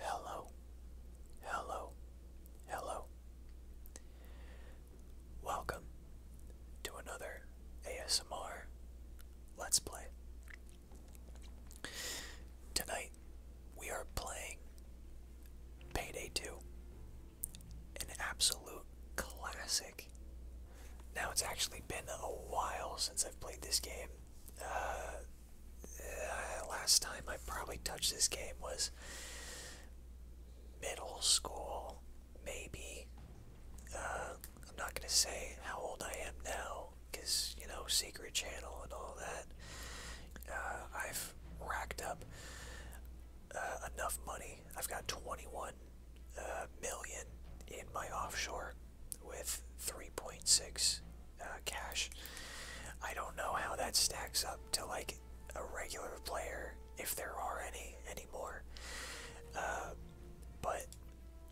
Hello, hello, hello. Welcome to another ASMR Let's Play. Tonight we are playing Payday 2, an absolute classic. Now it's actually been a while since I've played this game uh, last time I probably touched this game was middle school, maybe. Uh, I'm not gonna say how old I am now, cause you know Secret Channel and all that. Uh, I've racked up uh, enough money. I've got 21 uh, million in my offshore with 3.6 uh, cash. I don't know how that stacks up to like a regular player, if there are any anymore. Uh, but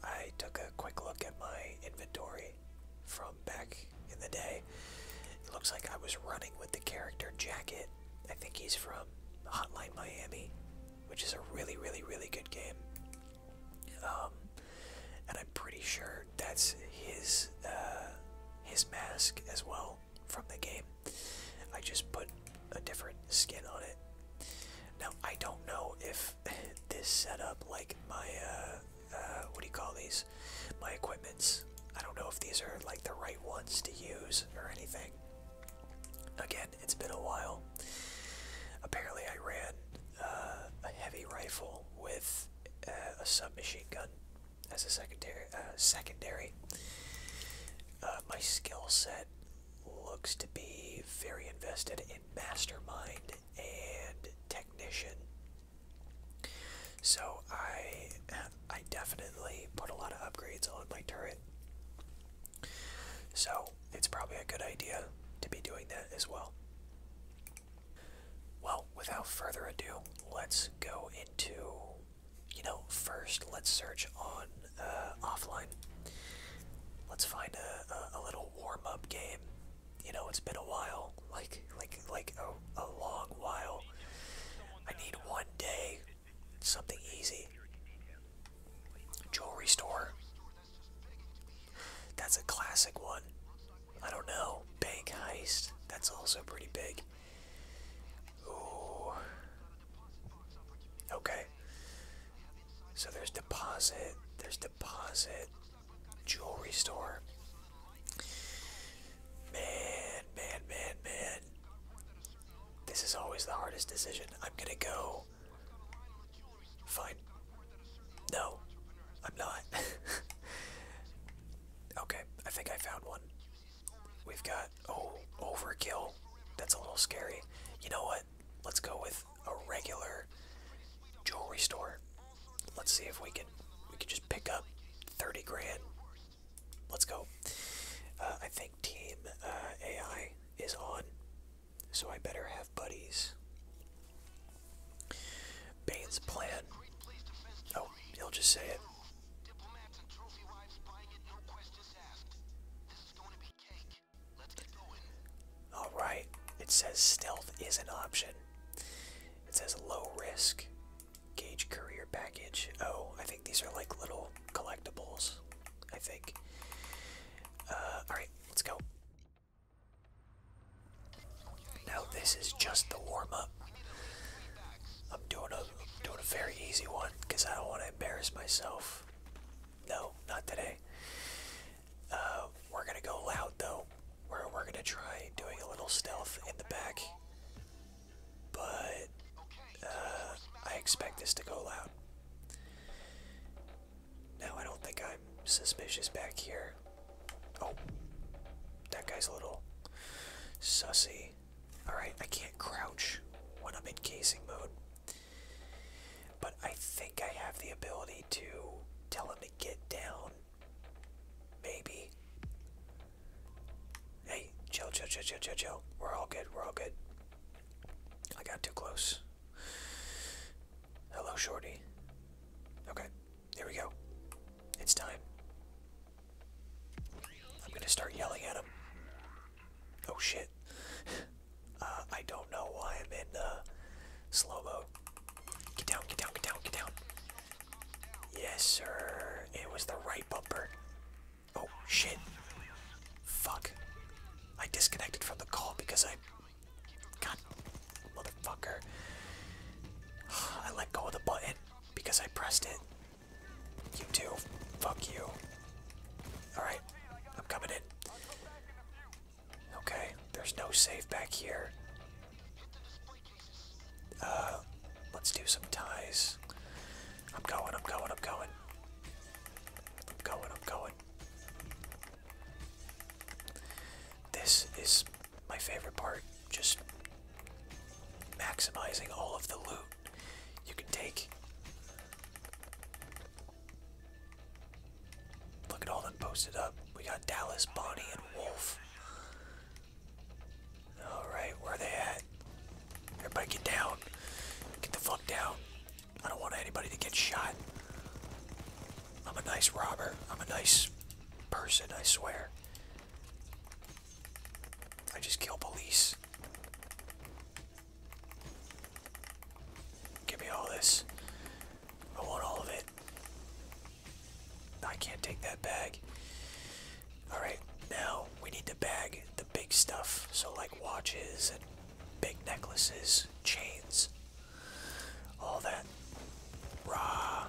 I took a quick look at my inventory from back in the day. It looks like I was running with the character Jacket. I think he's from Hotline Miami, which is a really, really, really good game. Um, and I'm pretty sure that's his uh, his mask as well from the game. I just put a different skin on it. Now I don't know if this setup, like my uh, uh, what do you call these? My equipments. I don't know if these are like the right ones to use or anything. Again, it's been a while. Apparently, I ran uh, a heavy rifle with uh, a submachine gun as a secondary. Uh, secondary. my skill set looks to be very invested in mastermind and technician. So I, I definitely put a lot of upgrades on my turret. So it's probably a good idea to be doing that as well. Well, without further ado, let's go into, you know, first let's search on uh, offline. Let's find a, a, a little warm-up game. You know, it's been a while, like like like a, a long while. I need one day, something easy. Jewelry store, that's a classic one. I don't know. Bank heist. That's also pretty big. Ooh. Okay. So there's deposit. There's deposit. Jewelry store. Man, man, man, man. This is always the hardest decision. I'm gonna go. Fine. No, I'm not. okay, I think I found one. We've got, oh, overkill. That's a little scary. You know what? Let's go with a regular jewelry store. Let's see if we can we can just pick up 30 grand. Let's go. Uh, I think Team uh, AI is on so I better have buddies. Bane's plan. Oh, he'll just say it. Alright, it says stealth is an option. It says low risk. Gauge courier package. Oh, I think these are like little collectibles. I think. Uh, Alright, let's go. Now this is just the warm-up. I'm doing a doing a very easy one because I don't want to embarrass myself. No, not today. Uh, we're gonna go loud though. We're we're gonna try doing a little stealth in the back, but uh, I expect this to go loud. Now I don't think I'm suspicious back here. Oh, that guy's a little sussy. Alright, I can't crouch when I'm in casing mode. But I think I have the ability to tell him to get down. Maybe. Hey, chill, chill, chill, chill, chill, chill. We're all good, we're all good. I got too close. Hello, Shorty. Okay, here we go. It's time. I'm gonna start yelling at him. Oh shit. Uh, I don't know why I'm in uh, slow mo. Get down, get down, get down, get down. Yes, sir. It was the right bumper. Oh shit. Fuck. I disconnected from the call because I God, motherfucker. I let go of the button because I pressed it. You too. Fuck you. Alright, I'm coming in. Okay, there's no save back here. Uh, let's do some ties. I'm going, I'm going, I'm going. I'm going, I'm going. This is my favorite part, just maximizing all of the loot you can take. Look at all that posted up. We got Dallas, Bonnie, and Wolf. Alright, where are they at? Everybody get down. Get the fuck down. I don't want anybody to get shot. I'm a nice robber. I'm a nice person, I swear. I just kill police. Give me all this. I want all of it. I can't take that bag. Alright, now we need to bag the big stuff. So, like watches and big necklaces, chains, all that raw,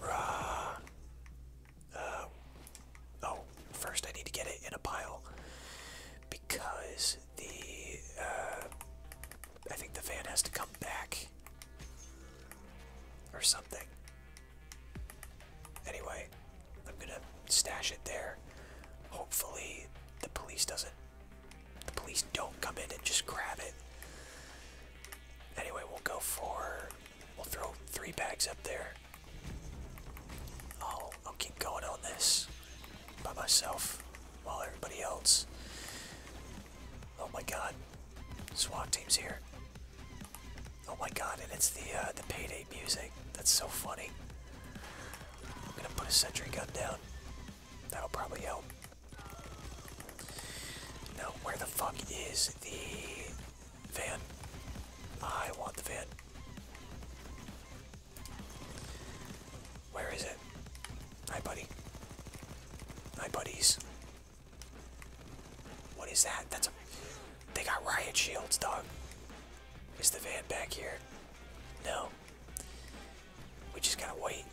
raw. Uh, oh, first I need to get it in a pile because the uh, I think the van has to come back or something. Anyway, I'm gonna stash it there. Hopefully, the police doesn't the police don't come in and just grab it. Anyway, we'll go for. We'll throw three bags up there. I'll, I'll keep going on this by myself while everybody else. Oh my god. SWAT team's here. Oh my god, and it's the uh, the payday music. That's so funny. I'm gonna put a sentry gun down. That'll probably help. No, where the fuck is the van? I want the van. Where is it? Hi, buddy. Hi, buddies. What is that? That's a. They got riot shields, dog. Is the van back here? No. We just gotta wait.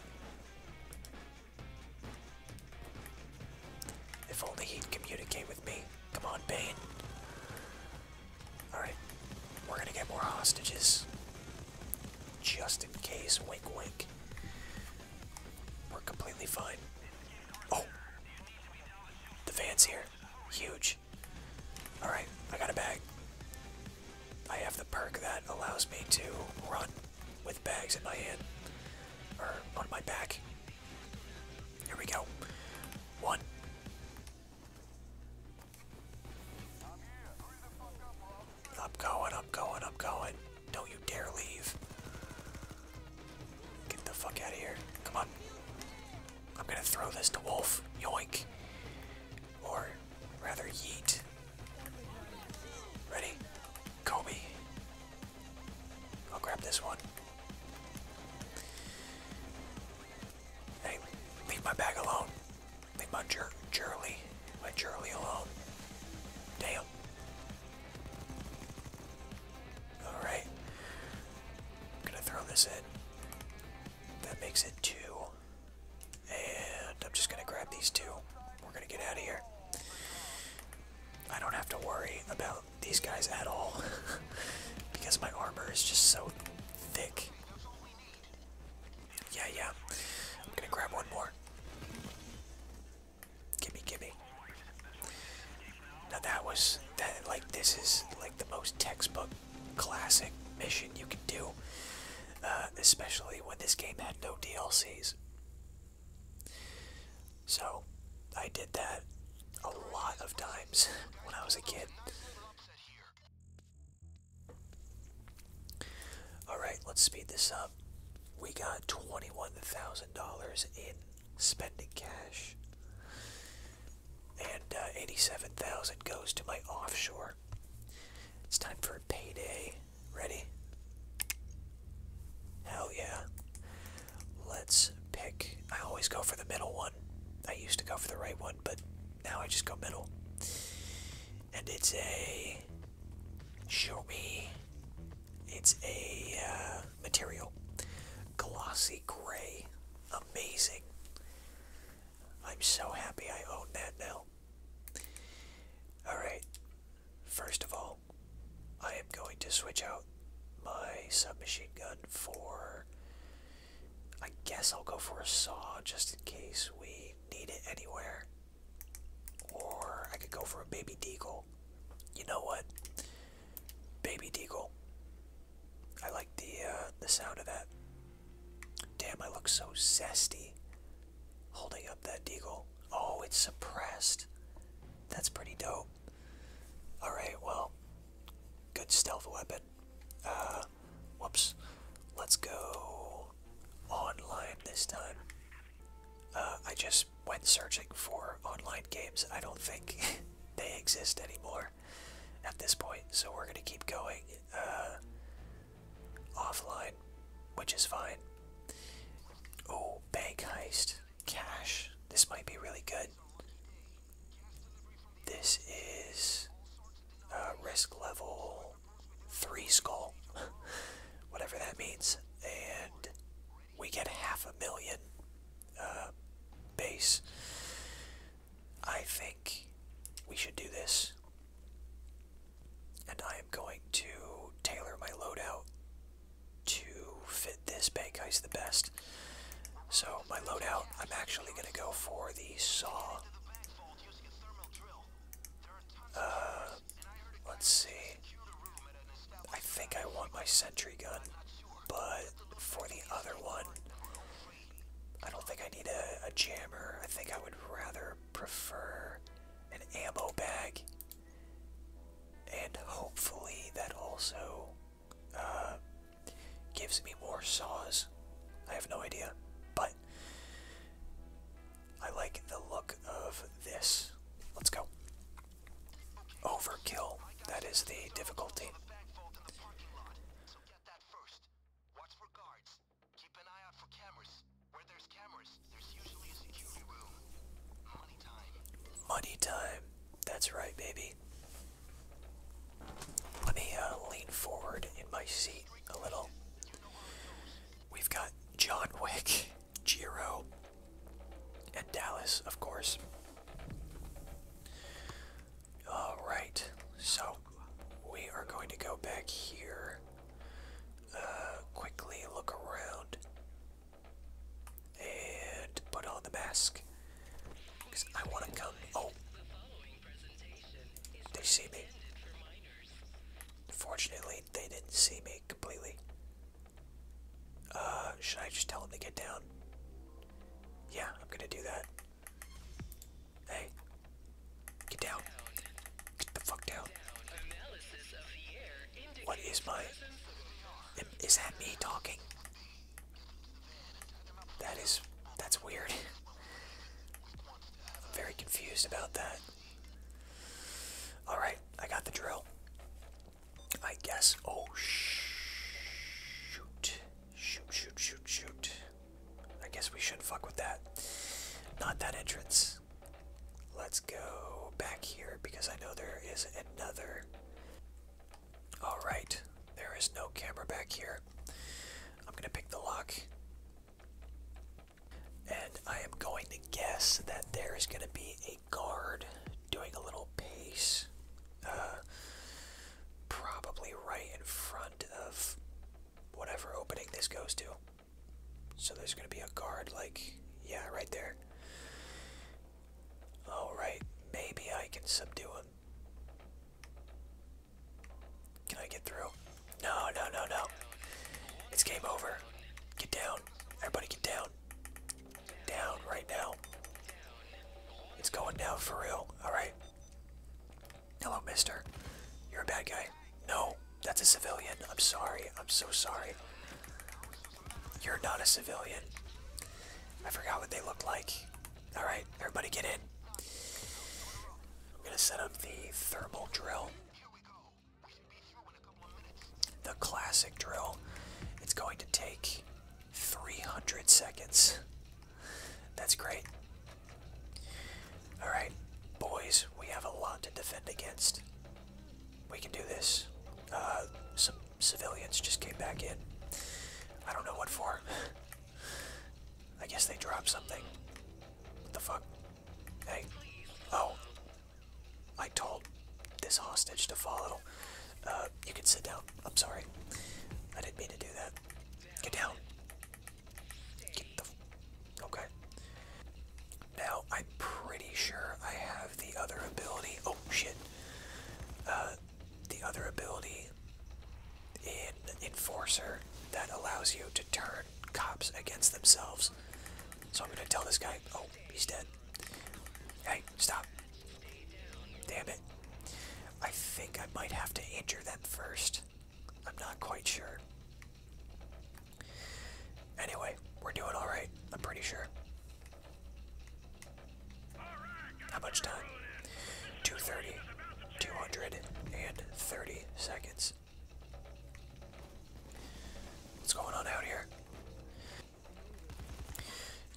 If only he'd communicate with me. Come on, Bane. Alright. We're gonna get more hostages. Just in case. Wake, wake. We're completely fine. Oh! The fans here. Huge. Alright, I got a bag. I have the perk that allows me to run with bags in my hand or on my back. Here we go. One. I'm going, I'm going, I'm going. Don't you dare leave. Get the fuck out of here. Come on. I'm gonna throw this to Wolf. Yoink. Or rather, yeet. Ready? Kobe. I'll grab this one. Hey, leave my bag alone. Leave my jer Jerly, my Jerly alone. Damn. alright I'm gonna throw this in. That makes it two. And I'm just going to grab these two. We're going to get out of here. I don't have to worry about these guys at all because my armor is just so thick. Yeah, yeah. I'm going to grab one more. Gimme, gimme. Now that was, that like this is like the most textbook classic mission you can do. Uh, especially when this game had no DLCs. So, I did that a lot of times when I was a kid. Alright, let's speed this up. We got $21,000 in spending cash. And uh, 87,000 goes to my offshore. It's time for a payday. Ready? Hell yeah. Let's pick. I always go for the middle one. I used to go for the right one, but now I just go middle. And it's a. Show me. It's a uh, material. Glossy gray. Amazing. I'm so happy I own that now. Alright, first of all, I am going to switch out my submachine gun for. I guess I'll go for a saw just in case we need it anywhere. Or I could go for a baby deagle. You know what? Baby deagle. I like the uh, the sound of that. Damn, I look so zesty holding up that deagle. Oh, it's suppressed. That's pretty dope. Alright, well, good stealth weapon. Uh, whoops. Let's go online this time. Uh, I just went searching for online games. I don't think they exist anymore at this point, so we're going to keep going. Uh, offline, which is fine. Oh, bank heist. Cash. This might be really good. This is uh, risk level 3 skull, whatever that means. And we get half a million uh, base. I think we should do this and I am going to tailor my loadout to fit this bank ice the best. So my loadout, I'm actually going to go for the saw. Uh, let's see. I think I want my sentry gun, but for the other one, I don't think I need a jammer. I think I would rather prefer an ammo bag, and hopefully that also uh, gives me more saws. I have no idea, but I like the look of this. Let's go. Overkill. That is the difficulty. Keep an eye out for cameras. Where there's cameras, there's usually a security room. Money time. Money time. That's right, baby. Let me uh, lean forward in my seat a little. We've got John Wick, Jiro, and Dallas, of course. Alright, so we are going to go back here uh, quickly look around and put on the mask because I want to come. Oh, they see me. Fortunately, they didn't see me completely. Uh, should I just tell them to get down? Yeah, I'm gonna do that. Hey, Get down. Get the fuck down. What is my... Is that me talking? That is... That's weird. I'm very confused about that. Alright, I got the drill. I guess... Oh, shoot. Shoot, shoot, shoot, shoot. I guess we should fuck with that. Not that entrance. Let's go back here because I know there is another. Alright, there is no camera back here. I'm going to pick the lock. And I am going to guess that there is going to be a guard doing a little pace. Uh, probably right in front of whatever opening this goes to. So there's going to be a guard, like, yeah, right there. Alright, maybe I can subdue him. Can I get through? No, no, no, no. It's game over. Get down. Everybody get down. Down right now. It's going down for real. Alright. Hello, mister. You're a bad guy. No, that's a civilian. I'm sorry. I'm so sorry. You're not a civilian. I forgot what they look like. Alright, everybody get in. I'm gonna set up the thermal drill. The classic drill. It's going to take 300 seconds. That's great. Alright, boys, we have a lot to defend against. We can do this. Uh, some civilians just came back in. I don't know what for. I guess they dropped something. What the fuck? Hey. Oh. I told this hostage to follow. Uh, you can sit down. I'm sorry. I didn't mean to do that. Get down. Okay. Now, I'm pretty sure I have the other ability. Oh, shit. Uh, the other ability in Enforcer that allows you to turn cops against themselves. So I'm gonna tell this guy, oh, he's dead. Hey, stop. Damn it. I think I might have to injure them first. I'm not quite sure. Anyway, we're doing alright, I'm pretty sure. How much time? 230, 230 seconds. What's going on out here?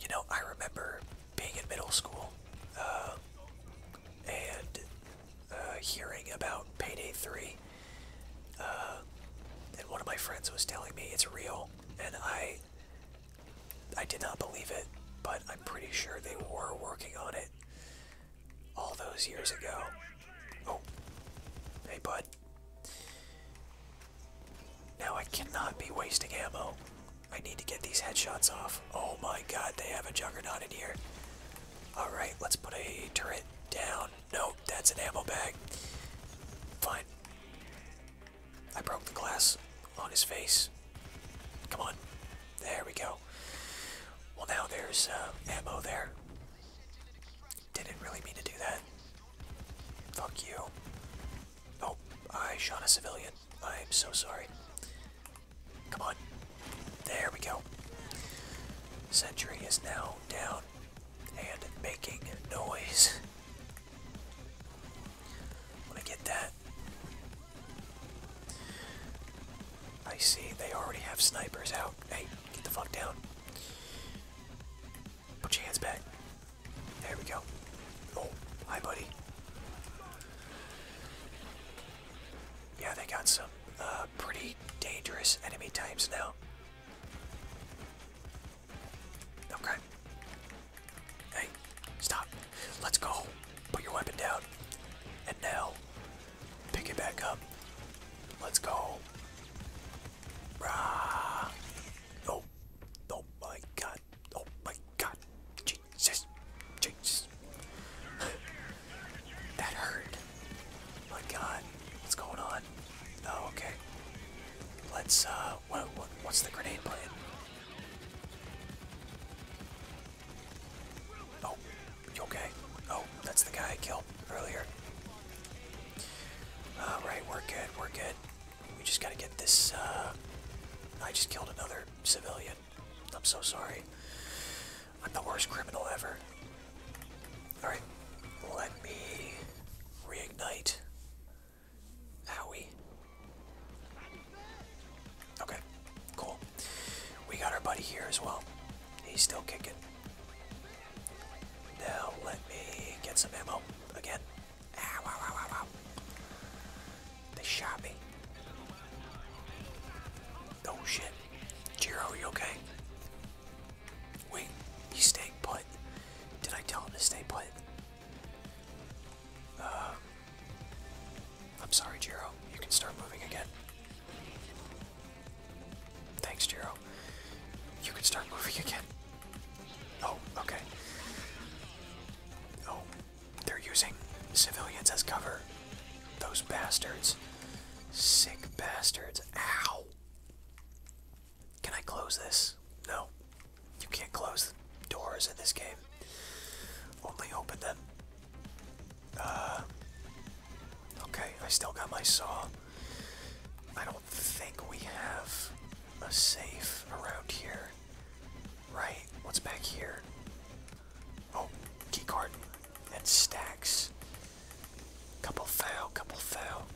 You know, I remember being in middle school, uh, and uh, hearing about Payday 3. Uh, and one of my friends was telling me it's real, and I I did not believe it, but I'm pretty sure they were working on it all those years ago. Oh, hey bud. Now I cannot be wasting ammo. I need to get these headshots off. Oh my god, they have a juggernaut in here. Alright, let's put a turret down. No, that's an ammo bag. Fine. I broke the glass on his face. Come on. There we go. Well, now there's uh, ammo there. Didn't really mean to do that. Fuck you. Oh, I shot a civilian. I'm so sorry. Come on. There we go. Sentry is now down and making noise. Want to get that? I see they already have snipers out. Hey, get the fuck down. Put your hands back. There we go. Oh, hi, buddy. Yeah, they got some uh, pretty dangerous enemy types now. Okay. Hey, stop. Let's go. Put your weapon down. And now, pick it back up. Let's go. Rah. Oh. Oh my god. Oh my god. Jesus. Jesus. That hurt. My God, what's going on? Oh, okay. Let's. Uh, What's the grenade plan? Oh, you okay? Oh, that's the guy I killed earlier. All right, we're good. We're good. We just gotta get this. Uh, I just killed another civilian. I'm so sorry. I'm the worst criminal ever. Alright, let me reignite. Howie. Okay, cool. We got our buddy here as well. He's still kicking. Now let me get some ammo again. Ah, they shot me. Oh shit. Jiro, you okay? Wait, he's staying put. Did I tell him to stay put? Um, I'm sorry, Jiro. You can start moving again. Thanks, Jiro. You can start moving again. Oh, okay. Oh, they're using civilians as cover. Those bastards. Sick bastards. Ow. Can I close this? No. You can't close doors in this game. Only open them. Uh, okay, I still got my saw. I don't think we have a safe around here. Right? What's back here? Oh, keycard. That stacks. Couple fail, couple fail.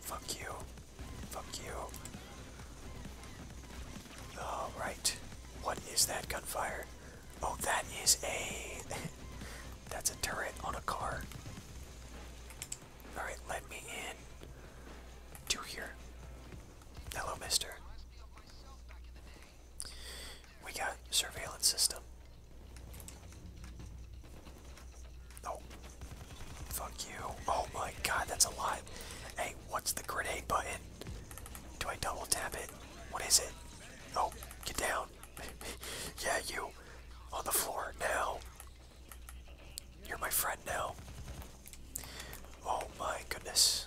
Fuck you. Fuck you. Alright. What is that gunfire? Oh, that is a... that's a turret on a car. Alright, let me in. To here. Hello, mister. We got surveillance system. Oh. Fuck you. Oh my god, that's a lot. Hey, what's the grenade button? Do I double tap it? What is it? Oh, get down. yeah, you. On the floor now. You're my friend now. Oh my goodness.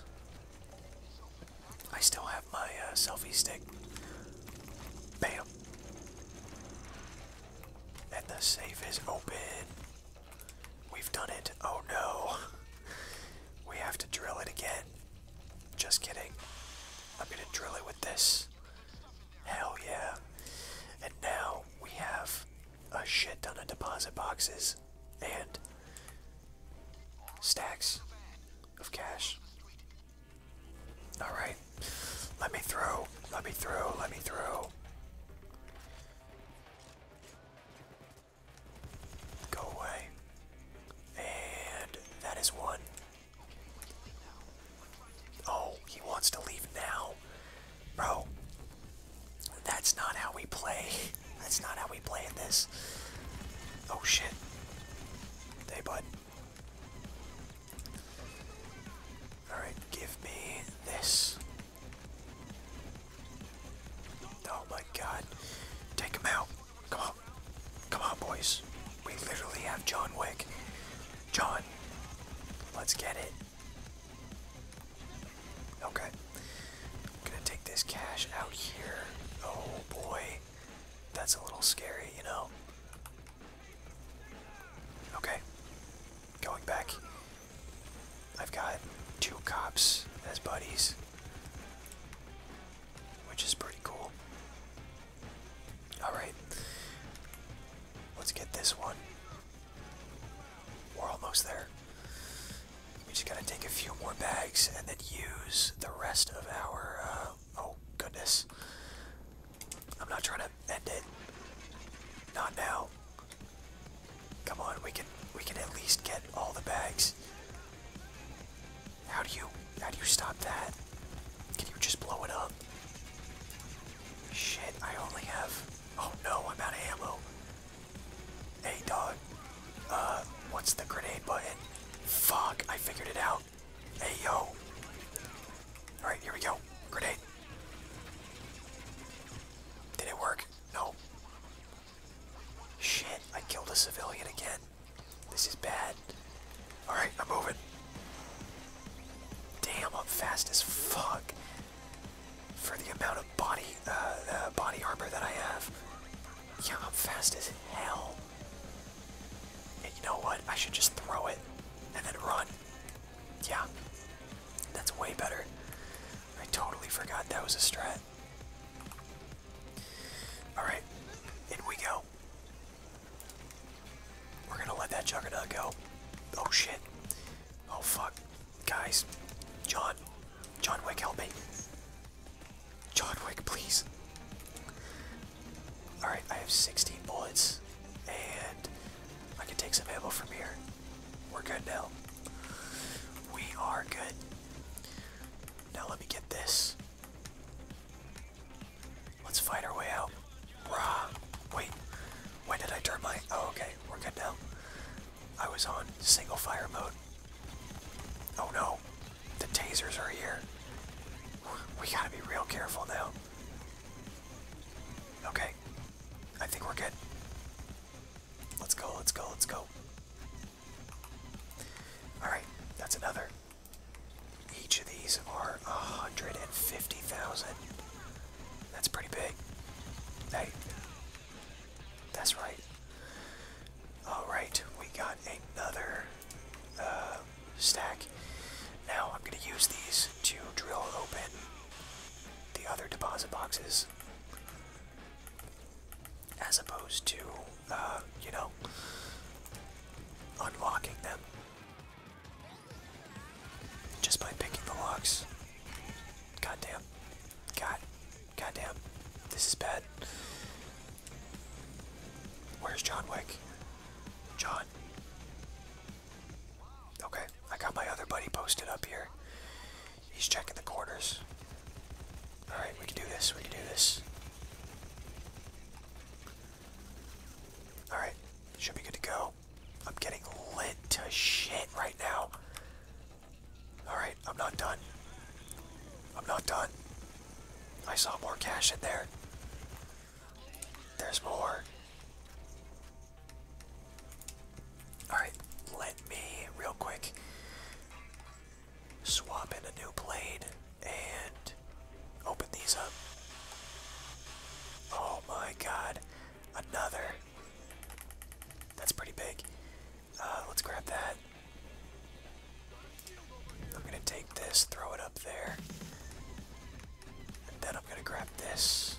I still have my uh, selfie stick. Bam. And the safe is open. We've done it. Oh no. We have to drill it again. Just kidding. I'm gonna drill it with this. Hell yeah. And now we have a shit ton of deposit boxes and stacks of cash. All right. Let me through. Let me through. Let me through. Go away. And that is one. Oh, he wants to leave now. Bro. That's not how we play. That's not how we play in this. Oh shit. Hey bud. Alright, give me this. Oh my god. Take him out. Come on. Come on, boys. We literally have John Wick. John, let's get it. Okay. I'm gonna take this cash out here. Oh boy. That's a little scary, you know? Okay. Going back. I've got two cops as buddies. Which is pretty cool. Alright. Let's get this one. We're almost there. We just gotta take a few more bags and then use the rest of our uh, Oh, goodness. I'm not trying to end it. Not now. Come on, we can we can at least get all the bags. How do you how do you stop that? Can you just blow it up? Shit, I only have oh no, I'm out of ammo. Hey dog. Uh what's the grenade button? Fuck, I figured it out. Hey yo. Alright, here we go. Grenade. Did it work? No. Shit, I killed a civilian again. This is bad. Alright, I'm moving. Damn, I'm fast as fuck. For the amount of body, uh, uh, body armor that I have. Yeah, I'm fast as hell you know what? I should just throw it and then run. Yeah. That's way better. I totally forgot that was a strat. Alright. In we go. We're gonna let that juggernaut go. Oh shit. Oh fuck. Guys. John. John Wick, help me. John Wick, please. Alright, I have 16 bullets, and I can take some ammo from here. We're good now. We are good. Now let me get this. Let's fight our way out. Rah! Wait, when did I turn my... Oh, okay, we're good now. I was on single fire mode. Oh no, the tasers are here. We gotta be real careful now. Okay. I think we're good. Let's go, let's go, let's go. Alright, that's another. Each of these are 150,000. That's pretty big. Hey, that's right. Alright, we got another. Uh, stack. Now I'm going to use these to drill open the other deposit boxes as opposed to, uh, you know, unlocking them just by picking the locks. Goddamn. God. Goddamn. This is bad. Where's John Wick? John. Okay, I got my other buddy posted up here. He's checking the corners. Alright, we can do this, we can do this. Alright, should be good to go. I'm getting lit to shit right now. Alright, I'm not done. I'm not done. I saw more cash in there. There's more. Alright, let me real quick swap in a new blade and open these up. Oh my god, another. That's pretty big. Uh, let's grab that. I'm gonna take this, throw it up there. And then I'm gonna grab this.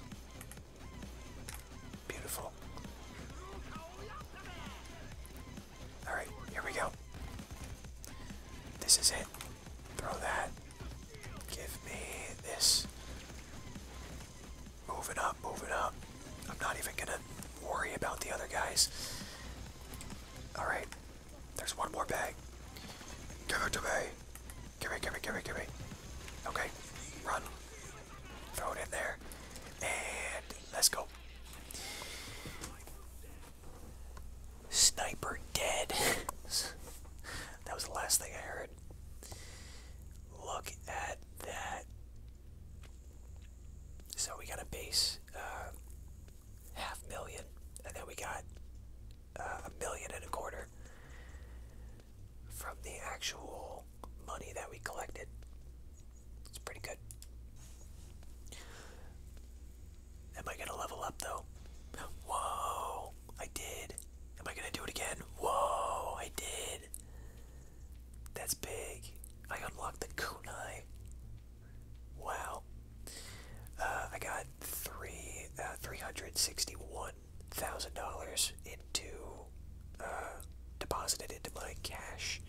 Beautiful. Alright, here we go. This is it. Throw that. Give me this. Moving up, moving up. I'm not even gonna worry about the other guys. Alright, there's one more bag. Give it to me. Get me, get me, get me, get me. Okay, run. Throw it in there. And let's go. Sniper dead. that was the last thing I heard. Look at that. So we got a base, uh, half million, and then we got a million and a quarter from the actual money that we collected. It's pretty good. Am I gonna level up though? Whoa, I did. Am I gonna do it again? Whoa, I did. That's big. I unlocked the kunai. Wow. Uh, I got three uh, three hundred sixty one thousand dollars into uh, deposited into my cash.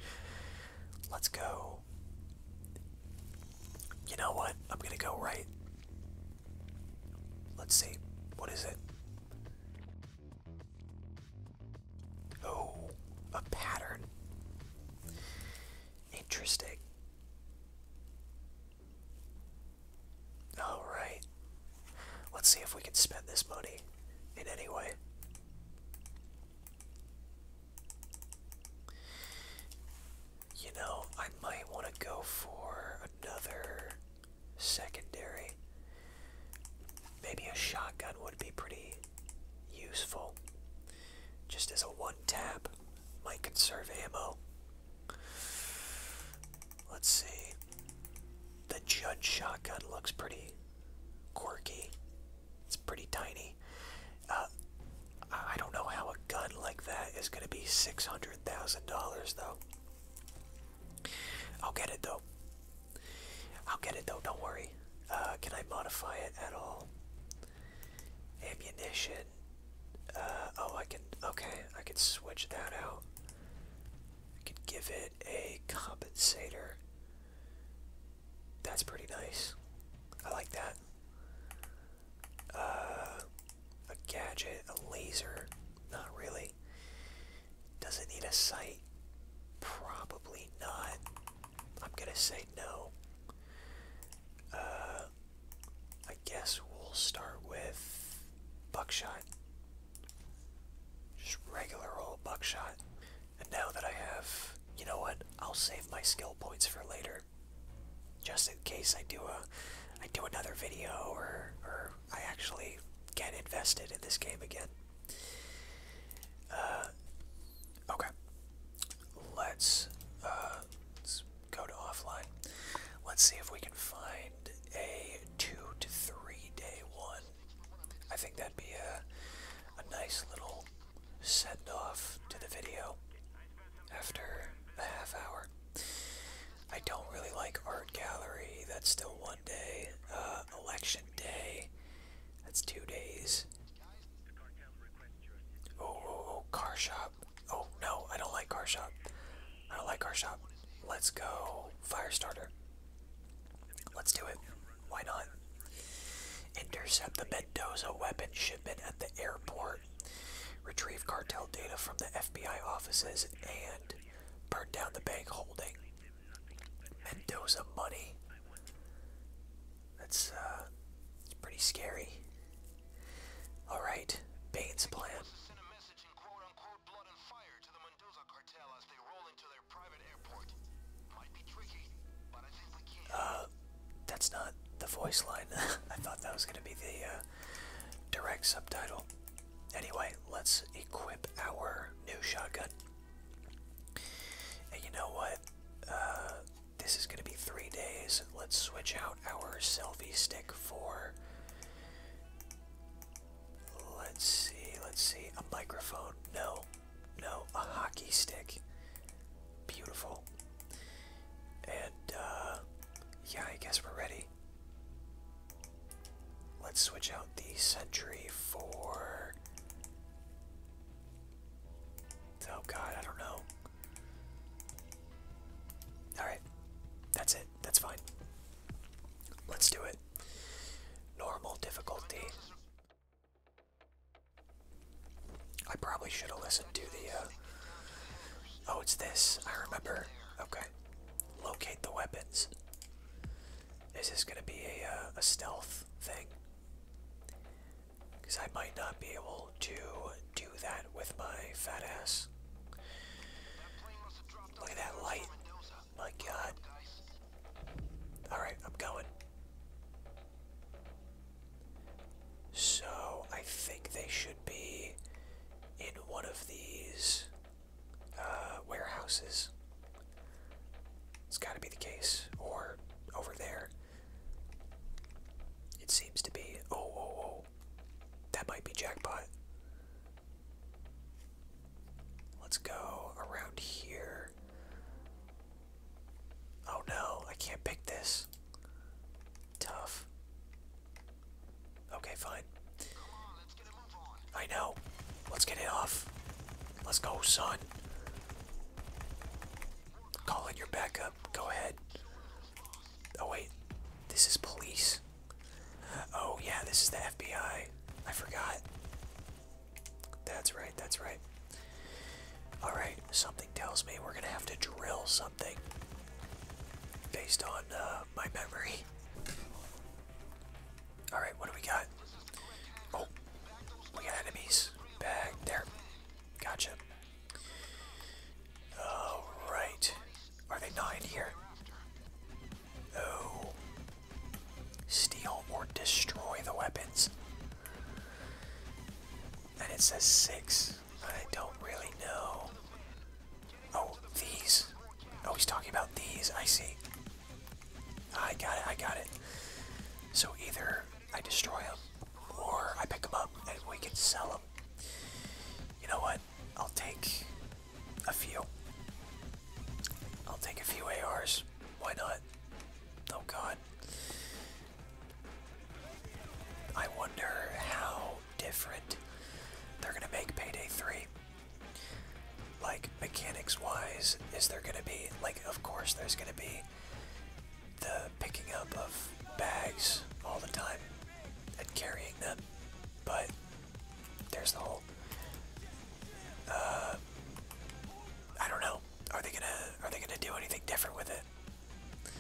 Let's go. You know what? I'm gonna go right. Let's see. What is it? Oh, a pattern. Interesting. Alright. Let's see if we can spend this money in any way. You know, I might want to go for another secondary. Maybe a shotgun would be pretty useful. Just as a one tap. Might conserve ammo. Let's see. The Judge shotgun looks pretty quirky. It's pretty tiny. Uh, I don't know how a gun like that is going to be $600,000 though. I'll get it though. I'll get it though, don't worry. Uh, can I modify it at all? Ammunition. Uh, oh, I can. Okay, I can switch that out. I can give it a compensator. That's pretty nice. I like that. Uh, a gadget, a laser. Not really. Does it need a sight? Probably not. I'm gonna say no. Uh, I guess we'll start with buckshot. Just regular old buckshot. And now that I have, you know what? I'll save my skill points for later. Just in case I do a I do another video or or I actually get invested in this game again. Uh, okay. Let's uh, let's go to offline. Let's see if we can find a two to three day one. I think that'd be a, nice little send off to the video after a half hour. I don't really like art gallery. That's still one day. Uh, election day. That's two days. oh, oh, oh car shop. Oh no, I don't like car shop. I don't like car shop. Let's go fire starter. Let's do it. Why not? Intercept the Mendoza weapon shipment at the airport. Retrieve cartel data from the FBI offices and burn down the bank holding. Mendoza money. That's uh it's pretty scary. Alright, Bane's plan blood and fire to the Mendoza cartel as they roll into their private airport. Uh, that's not the voice line. I thought that was going to be the uh, direct subtitle. Anyway, let's equip our new shotgun. And you know what? Uh, this is going to be three days. Let's switch out our selfie stick for Let's see, let's see. A microphone. No, no. A hockey stick. Beautiful. And, uh, yeah, I guess we're ready. Let's switch out the century for. Oh god, I don't know. Alright, that's it. That's fine. Let's do it. Normal difficulty. I probably should have listened to the, uh, Oh, it's this. I remember. Okay. Locate the weapons. Is this gonna be a, uh, a stealth thing? Because I might not be able to do that with my fat ass. Look at that light. My god. Alright, I'm going. So, I think they should be in one of these uh, warehouses. It's gotta be the case. Or over there. It seems to be. Oh, oh, oh. That might be jackpot. Let's go around here. Oh no, I can't pick this. Tough. Okay, fine. I know. Let's get it off. Let's go, son. Call in your backup. Go ahead. Oh, wait. This is police. Oh, yeah, this is the FBI. I forgot. That's right, that's right. Alright, something tells me we're gonna have to drill something based on uh, my memory. Alright, what do we got? Oh, we got enemies. Back there. Gotcha. Alright, are they not in here? No. Steal or destroy the weapons. And it says six, but I don't really know. Oh, these. Oh, he's talking about these. I see. I got it. I got it. So either I destroy them or I pick them up and we can sell them. You know what? I'll take a few. I'll take a few ARs. Why not? Oh god. I wonder how different they're gonna make Payday 3. Like, mechanics wise, is there gonna be, like, of course there's gonna be the picking up of bags all the time and carrying them, but there's the hole. Uh, I don't know. Are they gonna Are they gonna do anything different with it?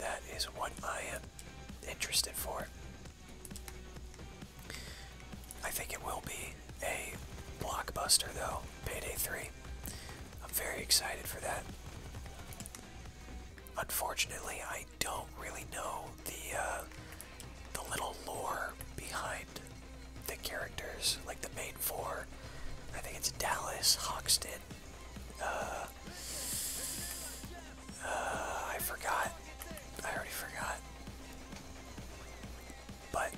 That is what I am interested for. I think it will be a blockbuster, though. Payday 3. I'm very excited for that. Unfortunately, I don't really know the uh, the little lore behind the characters, like the main four. I think it's Dallas, Hoxton. Uh, uh, I forgot. I already forgot. But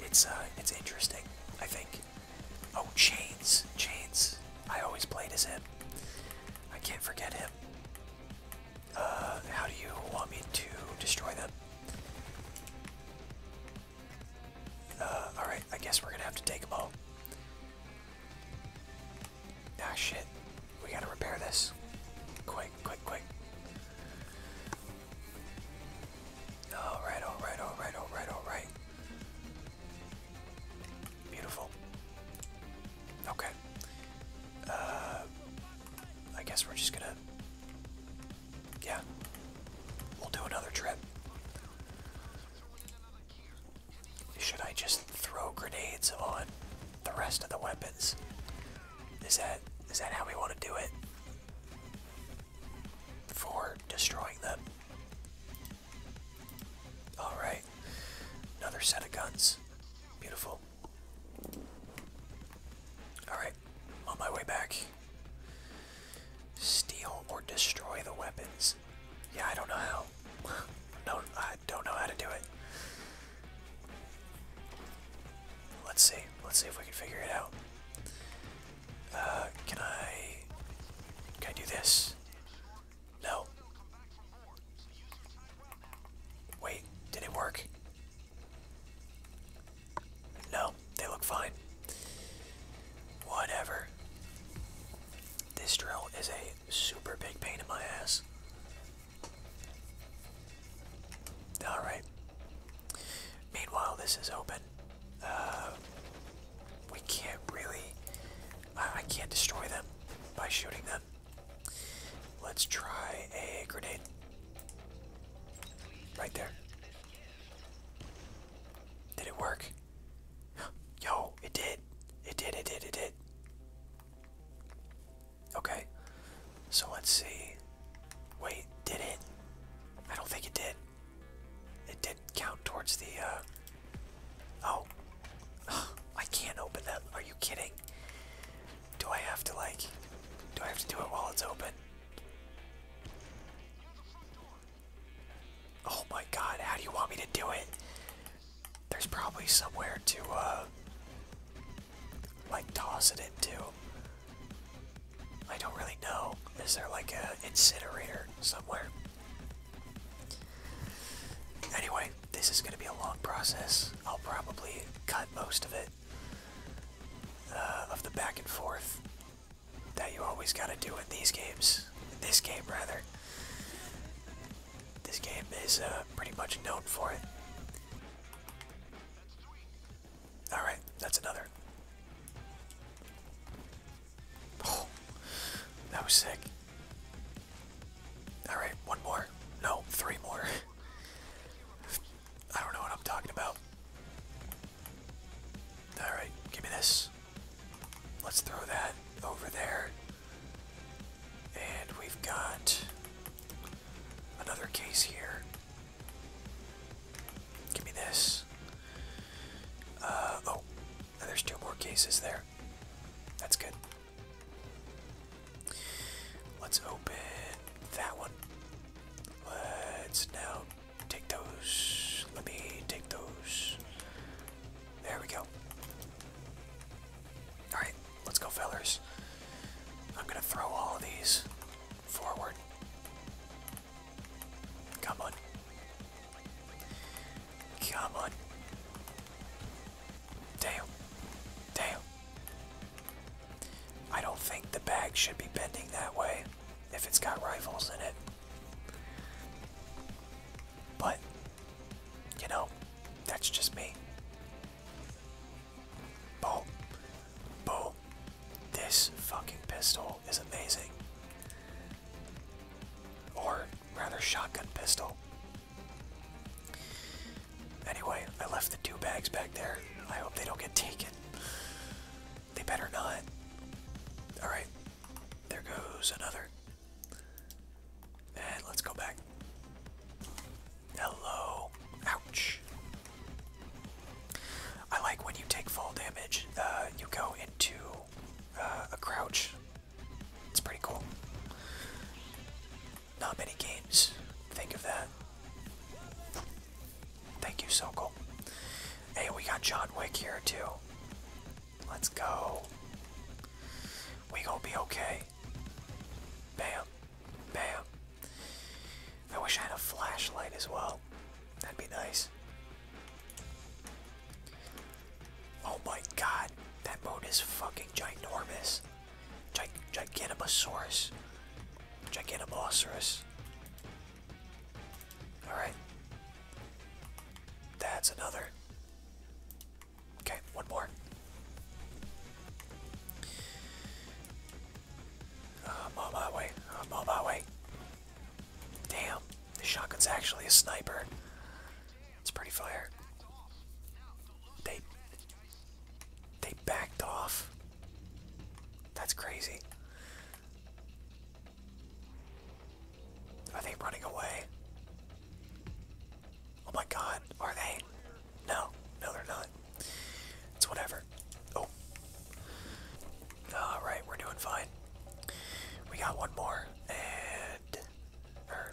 it's it's interesting. I think. Oh, Chains, Chains. I always played as him. I can't forget him. Uh, how do you want me to destroy them? Uh, alright, I guess we're gonna have to take them all. Ah, shit. We gotta repair this. Quick, quick, quick. Alright, alright, alright, alright, alright. Beautiful. Okay. Uh, I guess we're just gonna. Yeah. We'll do another trip. Should I just throw grenades on the rest of the weapons? Is that is that how we want to do it? For destroying them. Alright. Another set of guns. Beautiful. Alright. On my way back. Steal or destroy the weapons. Yeah, I don't know how. no, I don't know how to do it. Let's see. Let's see if we can figure it out. Uh, can I... Can I do this? No. Wait, did it work? No, they look fine. Whatever. This drill is a super big pain in my ass. Alright. Meanwhile, this is open. Uh, we can't really... I, I can't destroy them by shooting them. Let's try a grenade. Right there. Did it work? Yo, it did. It did, it did, it did. Okay. So let's see. Wait, did it? I don't think it did. It did count towards the uh, Oh. I can't open that. Are you kidding? Do I have to like do I have to do it while it's open? Oh my god, how do you want me to do it? There's probably somewhere to uh, like toss it into. I don't really know. Is there like a incinerator somewhere? Anyway, this is going to be a long process. I'll probably cut most of it, uh, of the back and forth that you always got to do in these games. this game, rather. This game is uh, pretty much known for it. Alright, that's another. Oh, that was sick. Alright, one more. No, three more. I don't know what I'm talking about. Alright, give me this. Let's throw that over there. And we've got another case here. Give me this. Uh, oh, there's two more cases there. That's good. Let's open that one. Let's now take those. Let me take those. There we go. Alright, let's go, fellers. I'm gonna throw all of these forward. Come on. Come on. Damn. Damn. I don't think the bag should be bending that way if it's got rifles in it. But, you know, that's just me. Boom. Boom. This fucking pistol is amazing. Or rather, shotgun pistol. Anyway, I left the two bags back there. I hope they don't get taken. They better not. Alright, there goes another. And let's go back. Hello. Ouch. I like when you take fall damage, uh, you go into uh, a crouch it's pretty cool. Not many games think of that. Thank you, Sokol. Hey, we got John Wick here too. Let's go. We gonna be okay. Bam. Bam. I wish I had a flashlight as well. That'd be nice. Oh my god, that boat is fucking ginormous. Gig Gigantamasaurus. Alright. That's another. Okay, one more. I'm on my way. I'm on my way. Damn, the shotgun's actually a sniper. It's pretty fire. They they backed off. That's crazy. Are they running away? Oh my god, are they? No, no they're not. It's whatever. Oh. Alright, we're doing fine. We got one more, and er,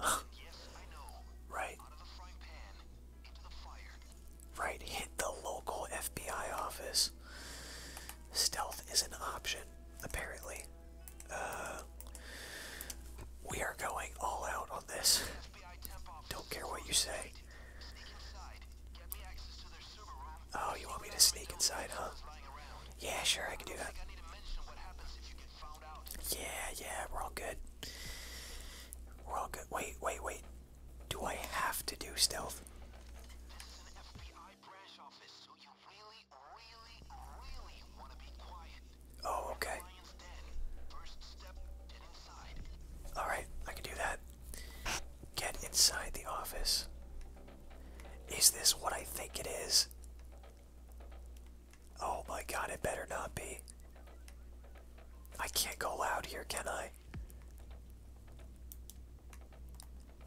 Right. Right, hit the local FBI office. Stealth is an option, apparently. Uh, we are going all out on this. Don't care what you say. Oh, you want me to sneak inside, huh? Yeah, sure, I can do that. Yeah, yeah, we're all good. We're all good. Wait, wait, wait. Do I have to do stealth? Oh, okay. Alright, I can do that. Get inside the office. Is this what I think it is? Oh my god, it better not be. I can't go loud here, can I?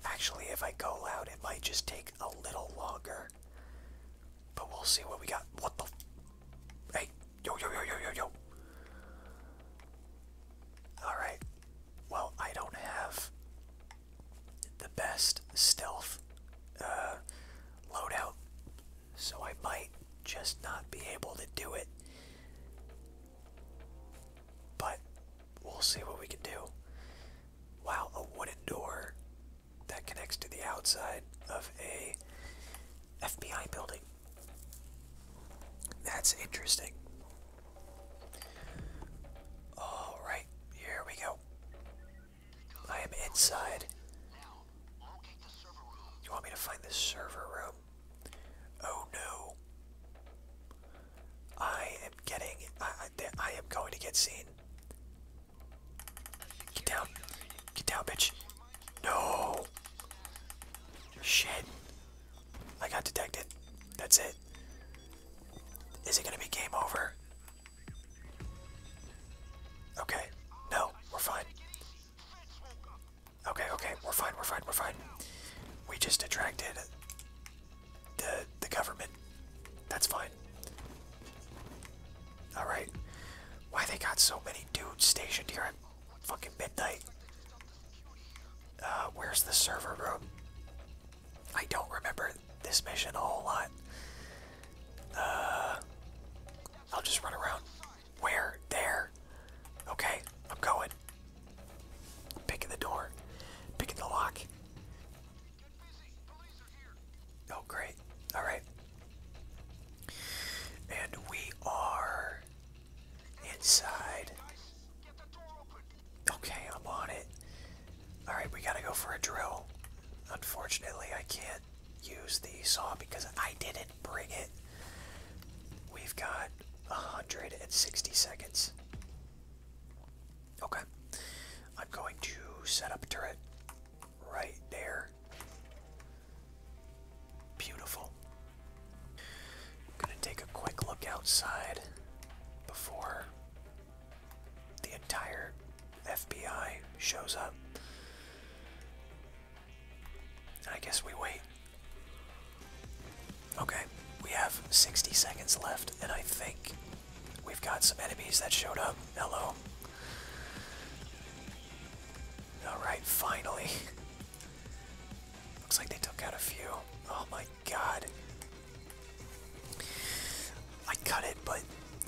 Actually, if I go loud, it might just take a little longer. But we'll see what we got. What the? Hey, yo, yo, yo, yo, yo, yo. Alright. Well, I don't have the best stealth uh, loadout, so I might just not be able to do it. But we'll see what we can do. Wow, a wooden door that connects to the outside of a FBI building. That's interesting. All right, here we go. I am inside. You want me to find the server room? Oh no. I am getting. I, I am going to get seen. Get down. Get down, bitch. No. Shit. I got detected. That's it. Is it gonna be game over? Okay. No, we're fine. Okay, okay, we're fine, we're fine, we're fine. We just attracted the the government. That's fine. Alright. Why they got so many dudes stationed here at fucking midnight? Uh, where's the server room? I don't remember this mission a whole lot. Uh, I'll just run around. Where? There. Okay, I'm going. Picking the door. Picking the lock. Oh, great. Alright. And we are inside. Okay, I'm on it. Alright, we gotta go for a drill. Unfortunately, I can't use the saw because I didn't bring it. We've got 160 seconds. Okay. I'm going to set up a turret right there. Beautiful. I'm gonna take a quick look outside before the entire FBI shows up. I guess we wait. Okay, we have 60 seconds left, and I think we've got some enemies that showed up. Hello. Alright, finally. Looks like they took out a few. Oh my god. I cut it, but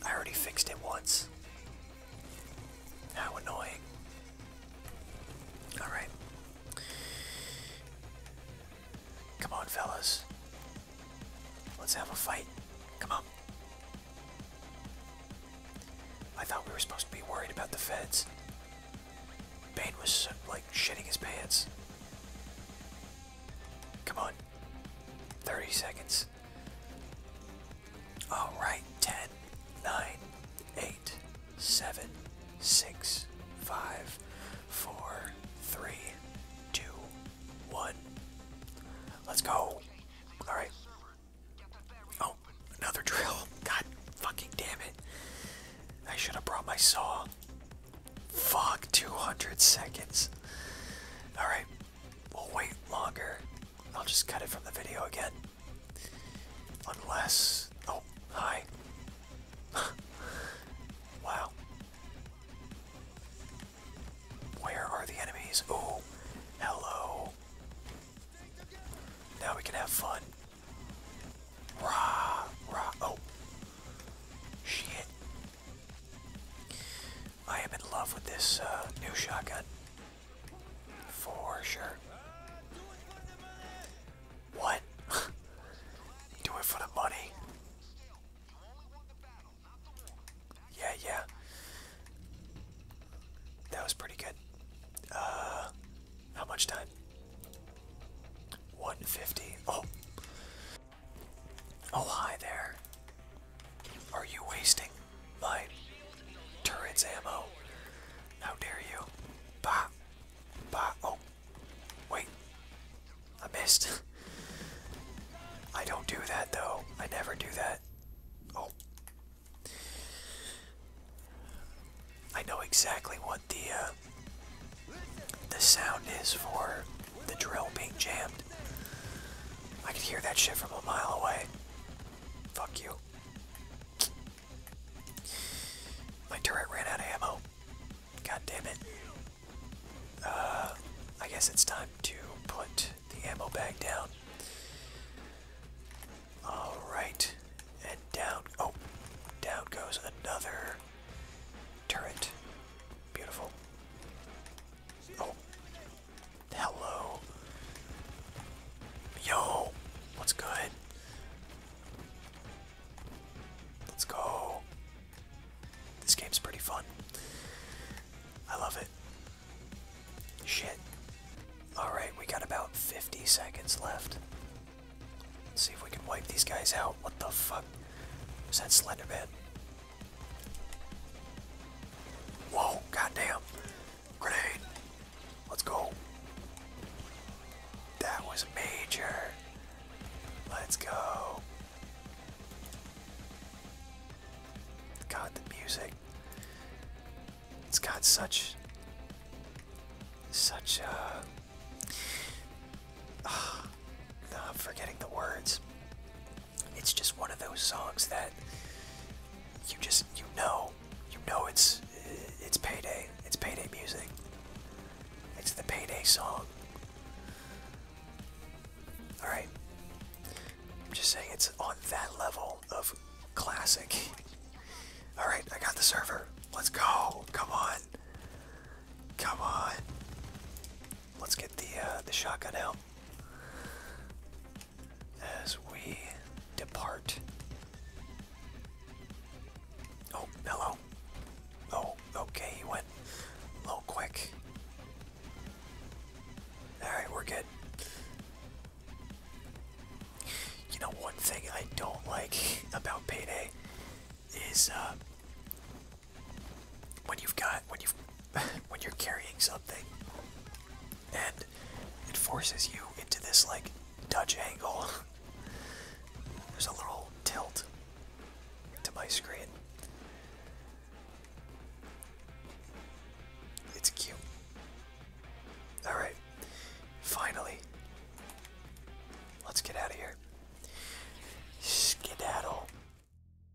I already fixed it once. How annoying. Alright. Come on, fellas. Let's have a fight. Come on. I thought we were supposed to be worried about the feds. Bane was, like, shitting his pants. Come on. 30 seconds right, ten, nine, eight, seven, six, five, four, three, two, one. Let's go. All right. Oh, another drill. God fucking damn it. I should have brought my saw. Fuck, 200 seconds. Alright, we'll wait longer. I'll just cut it from the video again. Unless. Oh, hi. wow. Where are the enemies? Oh, hello. Now we can have fun. Rah, rah. Oh. Shit. I am in love with this uh, new shotgun. For sure. What? Do it for the money. Yeah, yeah. That was pretty good. Uh, how much time? 150. Oh, Oh, hi there. Are you wasting my turret's ammo? How dare you? Bah! Bah! Oh! Wait! I missed. I don't do that though. I never do that. Oh. I know exactly what the uh, the sound is for the drill being jammed. I could hear that shit from a mile away. Fuck you. My turret ran out of ammo. God damn it. Uh, I guess it's time to put the ammo bag down. Alright. And down. Oh, down goes another turret. Beautiful. Oh, Hello. Yo, what's good? Let's go. This game's pretty fun. I love it. Shit. Alright, we got about 50 seconds left. see if we can wipe these guys out. What the fuck? Was that Slenderman? Whoa, goddamn. Grenade. Let's go. That was major. Let's go. God, the music. It's got such. Such, a. uh forgetting the words it's just one of those songs that you just you know you know it's it's payday it's payday music it's the payday song all right i'm just saying it's on that level of classic all right i got the server let's go come on come on let's get the uh, the shotgun out as we depart. Oh, hello. Oh, okay, he went a little quick. Alright, we're good. You know, one thing I don't like about Payday is uh, when you've got when you've when you're carrying something, and it forces you into this like Dutch angle. There's a little tilt to my screen. It's cute. Alright, finally, let's get out of here. Skedaddle.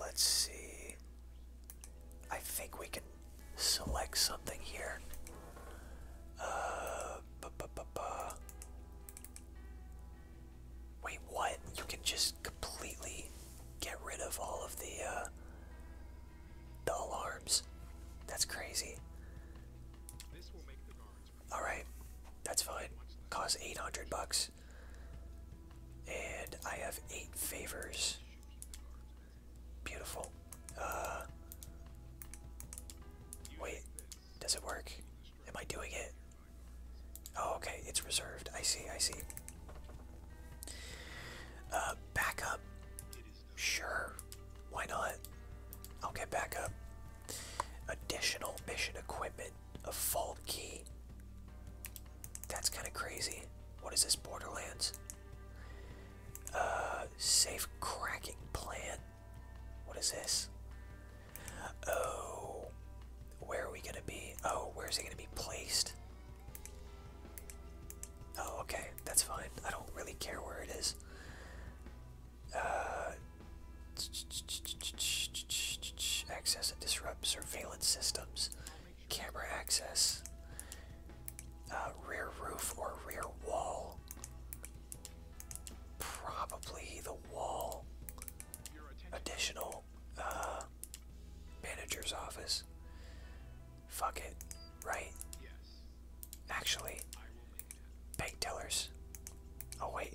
Let's see. I think we can select something here. Uh, bu -bu -bu Wait, what? You can just completely get rid of all of the uh, the alarms. That's crazy. All right, that's fine. Cost eight hundred bucks. And I have eight favors. Beautiful. Uh, wait, does it work? Am I doing it? Oh, okay, it's reserved. I see, I see. Uh, Sure, why not? I'll get back Additional mission equipment a fault key. That's kind of crazy. What is this, Borderlands? Uh, safe cracking plan. What is this? Oh, where are we gonna be? Oh, where's it gonna be placed? Oh, okay, that's fine. I don't really care where it is. Uh, Access and disrupt surveillance systems. Camera access. Uh, rear roof or rear wall. Probably the wall. Additional uh, manager's office. Fuck it, right? Yes. Actually, bank tellers. Oh, wait.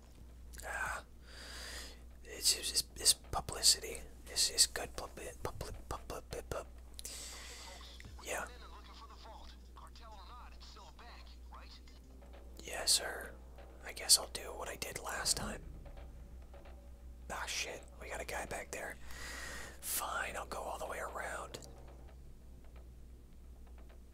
Uh, it's, just it's publicity. It's, just good public, public, public, public. Yeah. Yeah, sir. I guess I'll do what I did last time. Ah, shit. We got a guy back there. Fine, I'll go all the way around.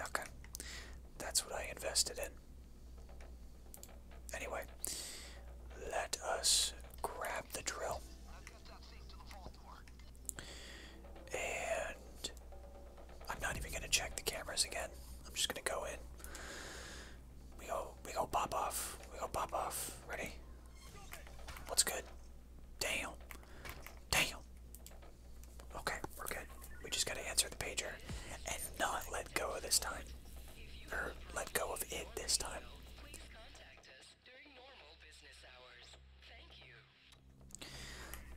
Okay. That's what I invested in. Anyway, let us grab the drill. And I'm not even gonna check the cameras again. I'm just gonna go in. We go we go pop off. We go pop off. Ready? What's good? Damn. Damn. Okay, we're good. We just gotta answer the pager and not let go this time. Or let go of it this time.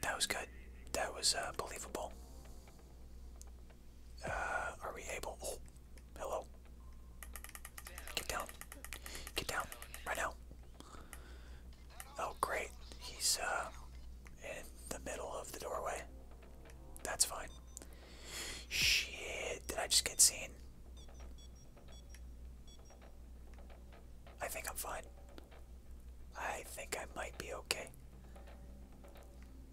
That was good. That was uh, believable. Uh, are we able? Oh, hello. Get down. Get down right now. Oh, great. He's uh, in the middle of the doorway. That's fine. Shit, did I just get seen? I think I'm fine. I think I might be okay.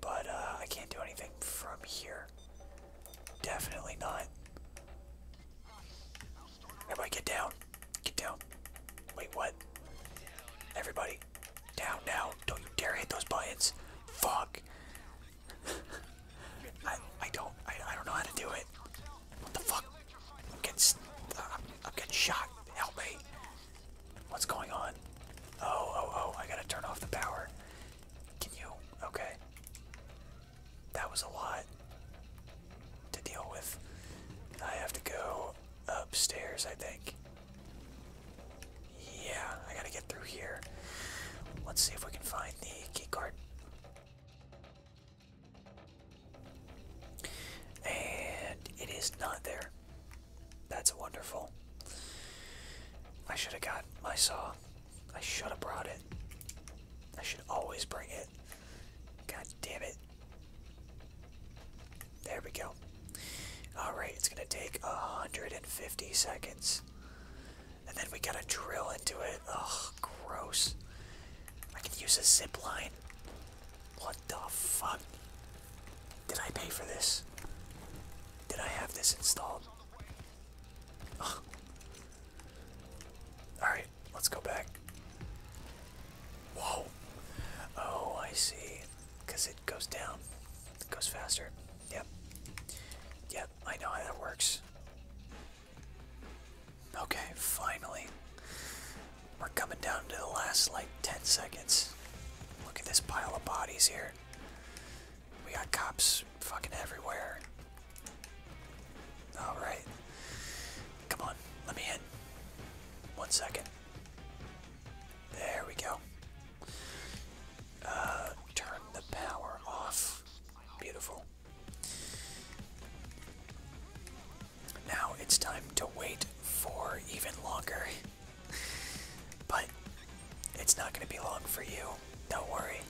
But uh, I can't do anything from here. Definitely not. Everybody get down. Get down. Wait, what? Everybody. Down, now, Don't you dare hit those buttons. Fuck. I, I don't, I, I don't know how to do it. What the fuck? I'm getting, uh, I'm getting shot. Help me. What's going on? Oh, oh, oh, I gotta turn off the power. Can you? Okay. That was a lot to deal with. I have to go upstairs, I think. Yeah, I gotta get through here. Let's see if we can find the key card. And it is not there. That's wonderful. I should have got my saw. I should have brought it. I should always bring it. God damn it. There we go. Alright, it's gonna take 150 seconds. And then we gotta drill into it. Ugh, gross. I can use a zipline. What the fuck? Did I pay for this? Did I have this installed? Alright, let's go back. Whoa. Oh, I see. Because it goes down. It goes faster. Yep. Yep, I know how that works. Okay, finally. We're coming down to the last, like, 10 seconds. Look at this pile of bodies here. We got cops fucking everywhere. Alright. Come on, let me in. One second. There we go. Uh, turn the power off. Beautiful. Now it's time to wait for even longer. but it's not going to be long for you. Don't worry.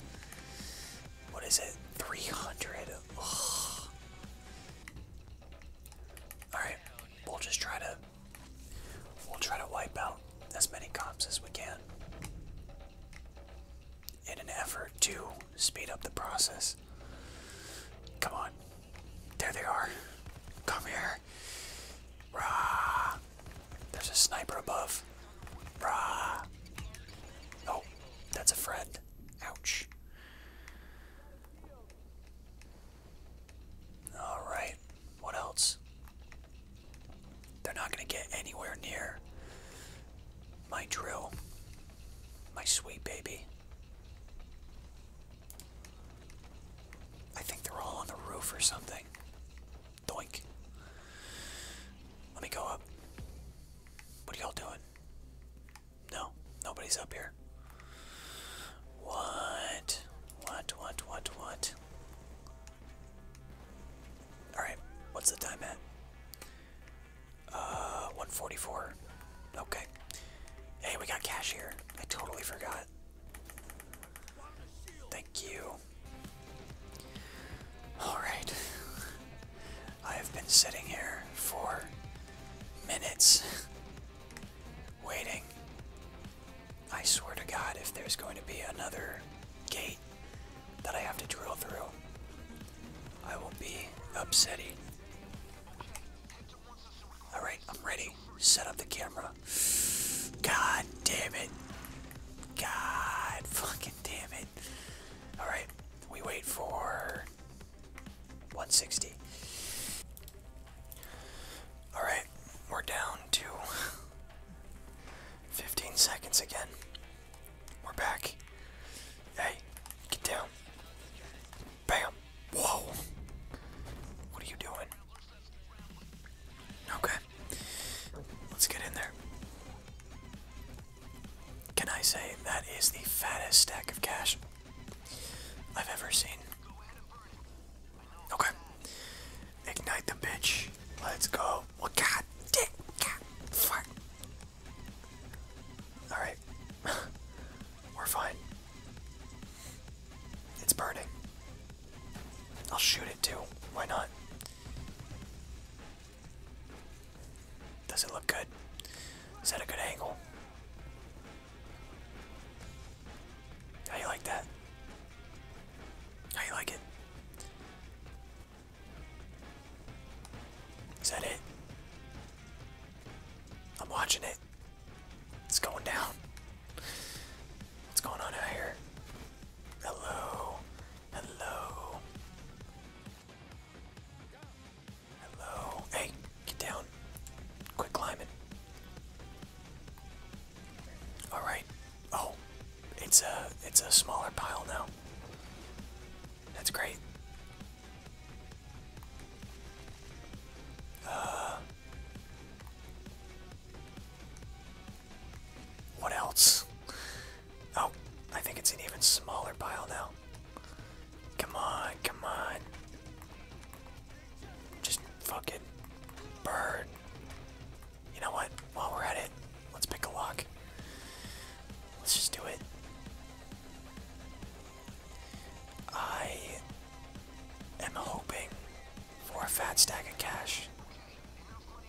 What is it? 300. Alright, we'll just try to We'll try to wipe out as many cops as we can in an effort to speed up the process. Come on. There they are. Come here. Rah. There's a sniper above. Rah. Oh, that's a friend. Ouch. Alright, what else? They're not going to get anywhere near my drill, my sweet baby. I think they're all on the roof or something. Doink. Let me go up. What are y'all doing? No, nobody's up here. What? What, what, what, what? Alright, what's the time at? Uh, 144. Okay. Hey, we got cash here. I totally forgot. Thank you. Alright. I have been sitting here for minutes waiting I swear to God, if there's going to be another gate that I have to drill through, I will be upset. Alright, I'm ready. Set up the camera. God damn it. God fucking damn it. Alright, we wait for 160. Alright, we're down to 15 seconds again. We're back. Hey, get down. Bam. Whoa. What are you doing? Okay. Let's get in there. Can I say that is the fattest stack of cash I've ever seen? Okay. Ignite the bitch. Let's go. Well, god dick. Fuck. Alright. We're fine. It's burning. I'll shoot it too. Why not? Does it look good? Is that a good angle? How you like that? How you like it? Is that it? I'm watching it. It's going down. What's going on out here? Hello. Hello. Hello. Hey, Get down. Quit climbing. Alright. Oh. It's a it's a smaller pile now. That's great. Uh what else? Oh, I think it's an even smaller pile now. Come on, come on. Just fuck it, bird. You know what? While we're at it, let's pick a lock. Let's just do it. I am hoping for a fat stack of cash.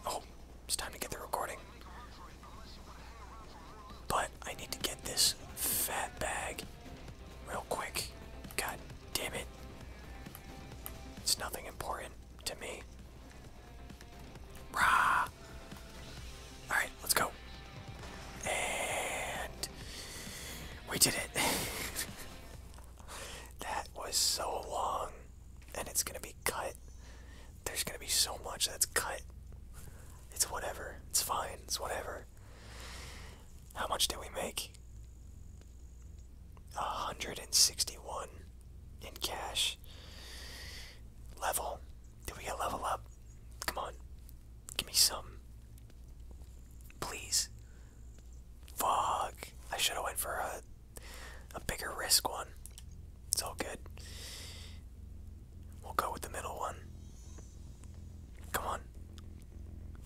Oh, it's time to get the recording. But I need to get this fat bag real quick. God Damn it. It's nothing important to me. Rah! Alright, let's go. And we did it. that was so long. And it's gonna be cut. There's gonna be so much that's cut. It's whatever. It's fine. It's whatever. How much did we make? 161 in cash. Level. Did we get level up? Come on. Give me some. Please. Fuck. I should have went for a a bigger risk one. It's all good. We'll go with the middle one. Come on.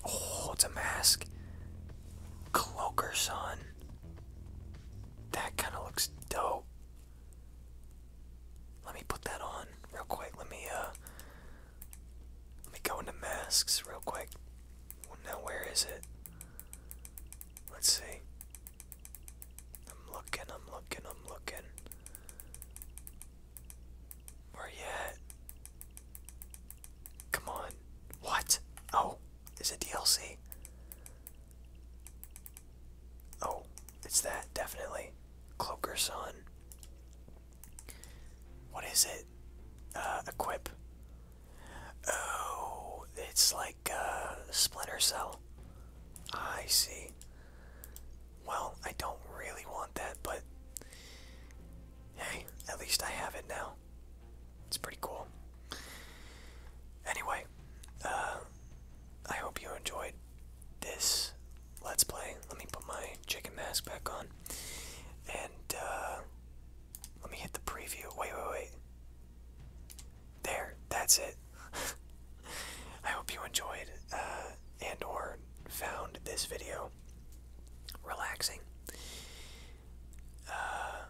Oh, it's a mask. Cloaker Son. That kind of looks dope. Let me put that on real quick. Let me uh let me go into masks real quick. Now where is it? Let's see. I'm looking, I'm looking, I'm looking. Where you Come on. What? Oh, is it DLC? Oh, it's that, definitely. Cloaker Son. What is it? Uh, equip. Oh, it's like uh, Splinter Cell. I see. Well, I don't really want that, but Hey, at least I have it now. It's pretty cool. Anyway, uh, I hope you enjoyed this Let's Play. Let me put my chicken mask back on. And, uh, let me hit the preview. Wait, wait, wait. There, that's it. I hope you enjoyed uh, and or found this video relaxing. Uh,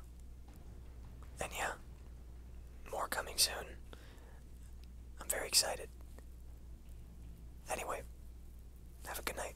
and yeah, more coming soon. I'm very excited. Anyway, have a good night.